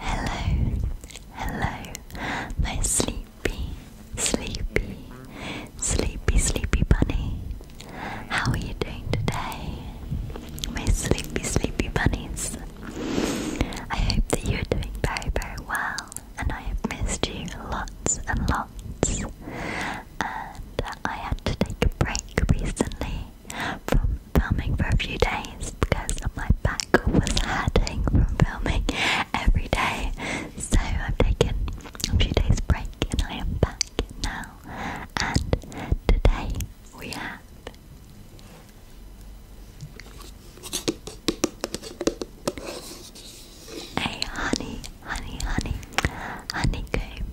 Hello, hello, my sleepy, sleepy, sleepy, sleepy bunny. How are you doing today, my sleepy, sleepy bunnies? I hope that you're doing very, very well, and I have missed you lots and lots. And I had to take a break recently from filming for a few days because my back was hurting from filming every day. So i am taking a few days break and I am back now. And today we have a honey, honey, honey, honeycomb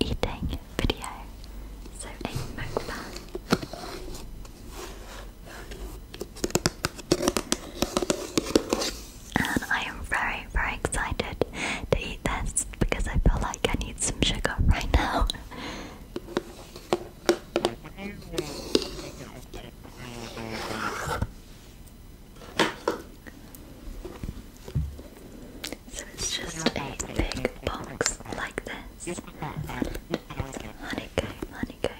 eating video. So a mukbang. And I am very, very excited to eat this because I feel like I need some sugar right now. So it's just a big box like this. Honeycomb, honeycomb,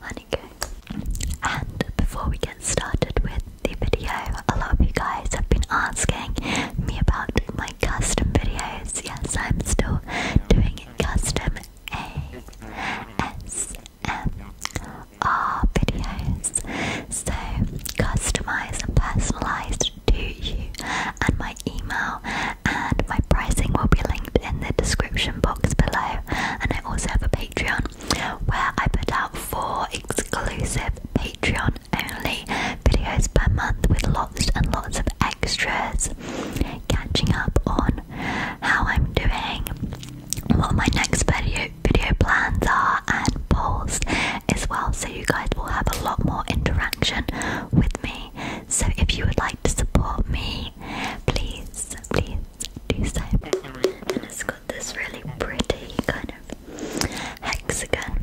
honeycomb. And before we get started with the video, a lot of you guys have been asking me about my custom videos. Yes, I'm still doing custom ASMR videos. So customized and personalized much you and my email and my pricing will be linked in the description box below and I also have a Patreon where I put out four exclusive Patreon only videos per month with lots and lots of extras catching up on how I'm doing what my next video video plans are and polls as well you guys will have a lot more interaction with me. So if you would like to support me, please, please do so. And it's got this really pretty kind of hexagon,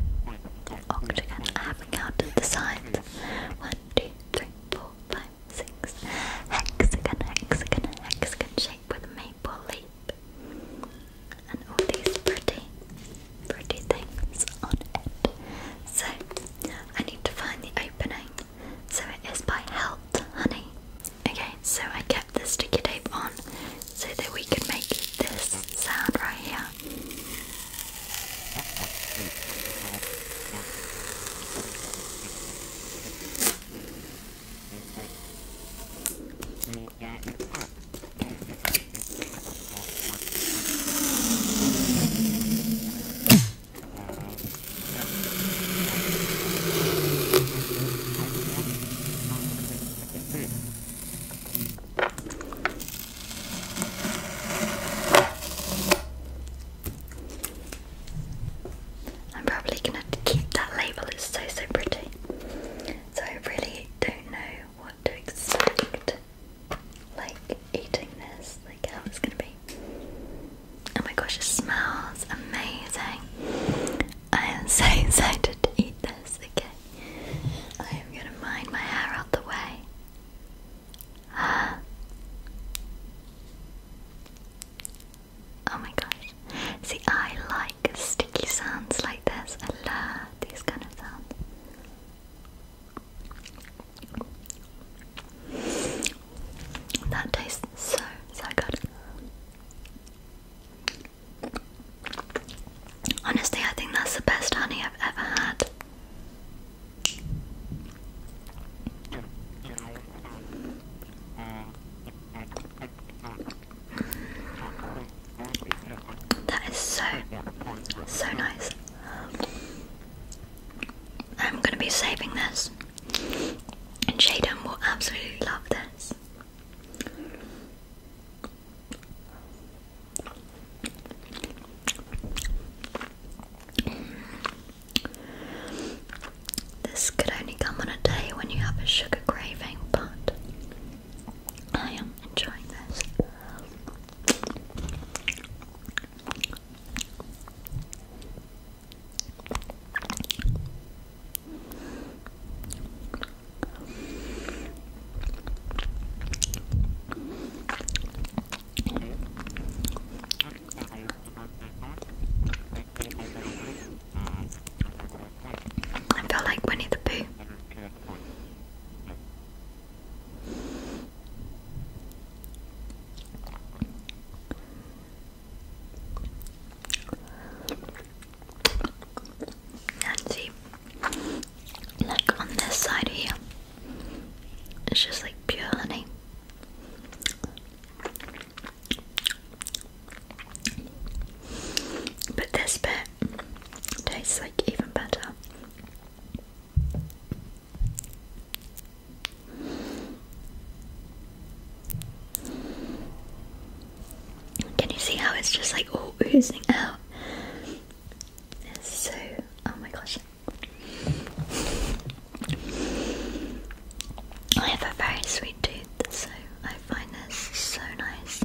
octagon. I haven't the sides. One, two, three, four, five, six. Hexagon, hexagon, hexagon shape with a maple leaf and all these pretty, pretty things on it. So I need to find the opening. So it is by Health Honey. Okay, so I kept the sticky tape on so that we could make this sound right here. I'm probably gonna keep that label, it's so so pretty. So I really don't know what to expect. Like eating this, like how it's gonna be. Oh my gosh, it smells amazing. I am so excited to eat this, okay? I am gonna mind my hair out the way. Oh my gosh. See, I sticky sounds like this. I love these kind of sounds. That tastes so, so good. Honestly, I think that's the best honey I've ever had. Um, that is so, so nice. I'm gonna be saving this, and Jaden will absolutely love this. This could only come on a day when you have a sugar craving, but I am enjoying this. I feel like Winnie the Pooh. Nancy, like on this side here, it's just like pure honey. But this bit tastes like even better. Can you see how it's just like oozing out? It's so. Oh my gosh. I have a very sweet tooth, so I find this so nice.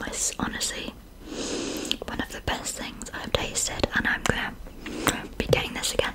was honestly one of the best things I've tasted, and I'm gonna be getting this again.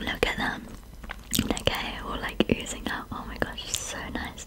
Look at them. Like all like oozing out. Oh my gosh, it's so nice.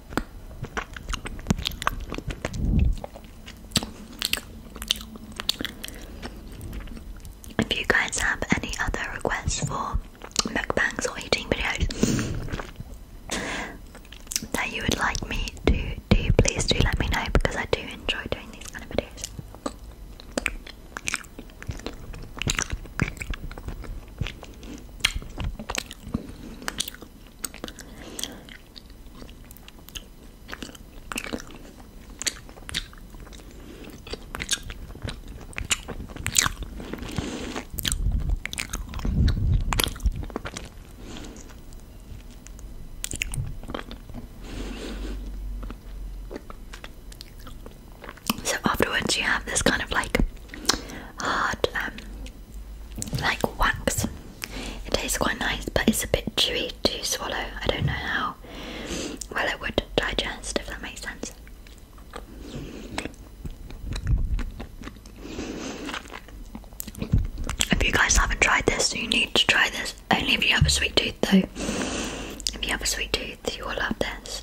If you guys have any other requests for mukbangs or eating videos that you would like me to do, please do let me know because I do enjoy doing these kind of videos. So afterwards, you have this kind of like hard um, like wax. It tastes quite nice, but it's a bit chewy to swallow. I don't know how well it would digest, if that makes sense. If you guys haven't tried this, you need to try this. Only if you have a sweet tooth, though. If you have a sweet tooth, you will love this.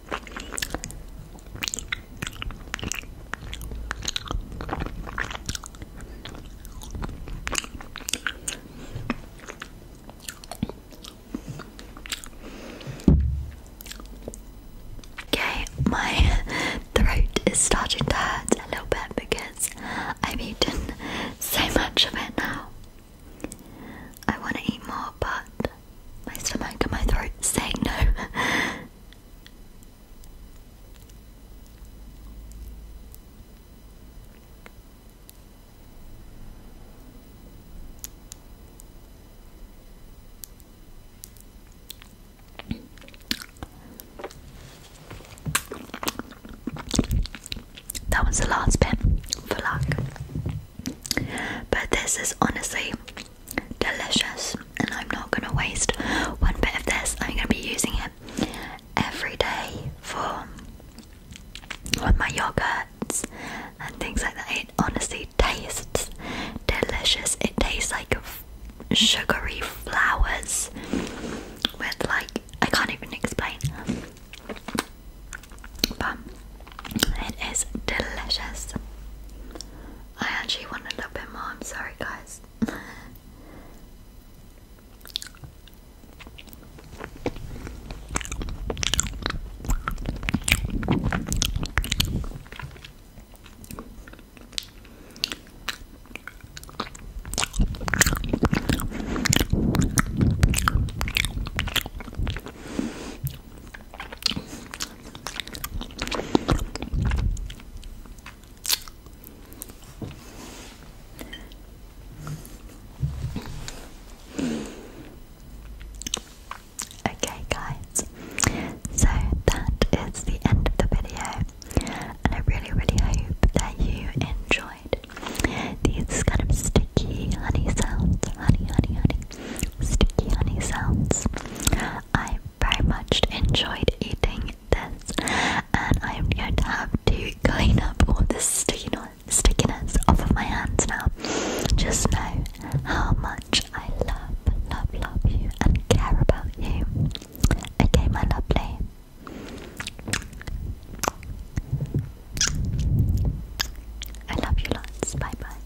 Okay, my throat is starting to hurt a little bit because I've eaten so much of it now. I want to eat more, but my stomach and my throat saying no. That was the last bit for luck. But this is honestly delicious and I'm not going to waste one bit of this. I'm going to be using it every day for my yogurts and things like that. It honestly tastes delicious. It tastes like sugary flowers with like I can't even explain. But it is delicious. I actually want a little bit more, I'm sorry guys. Okay, guys, so that is the end of the video, and I really, really hope that you enjoyed these kind of sticky honey sounds honey, honey, honey, sticky honey sounds. I very much enjoyed eating this, and I'm going to have to clean up all the stickiness, stickiness off of my hands now. Just know how much I love, love, love you and care about you. Okay, my lovely. I love you lots. Bye bye.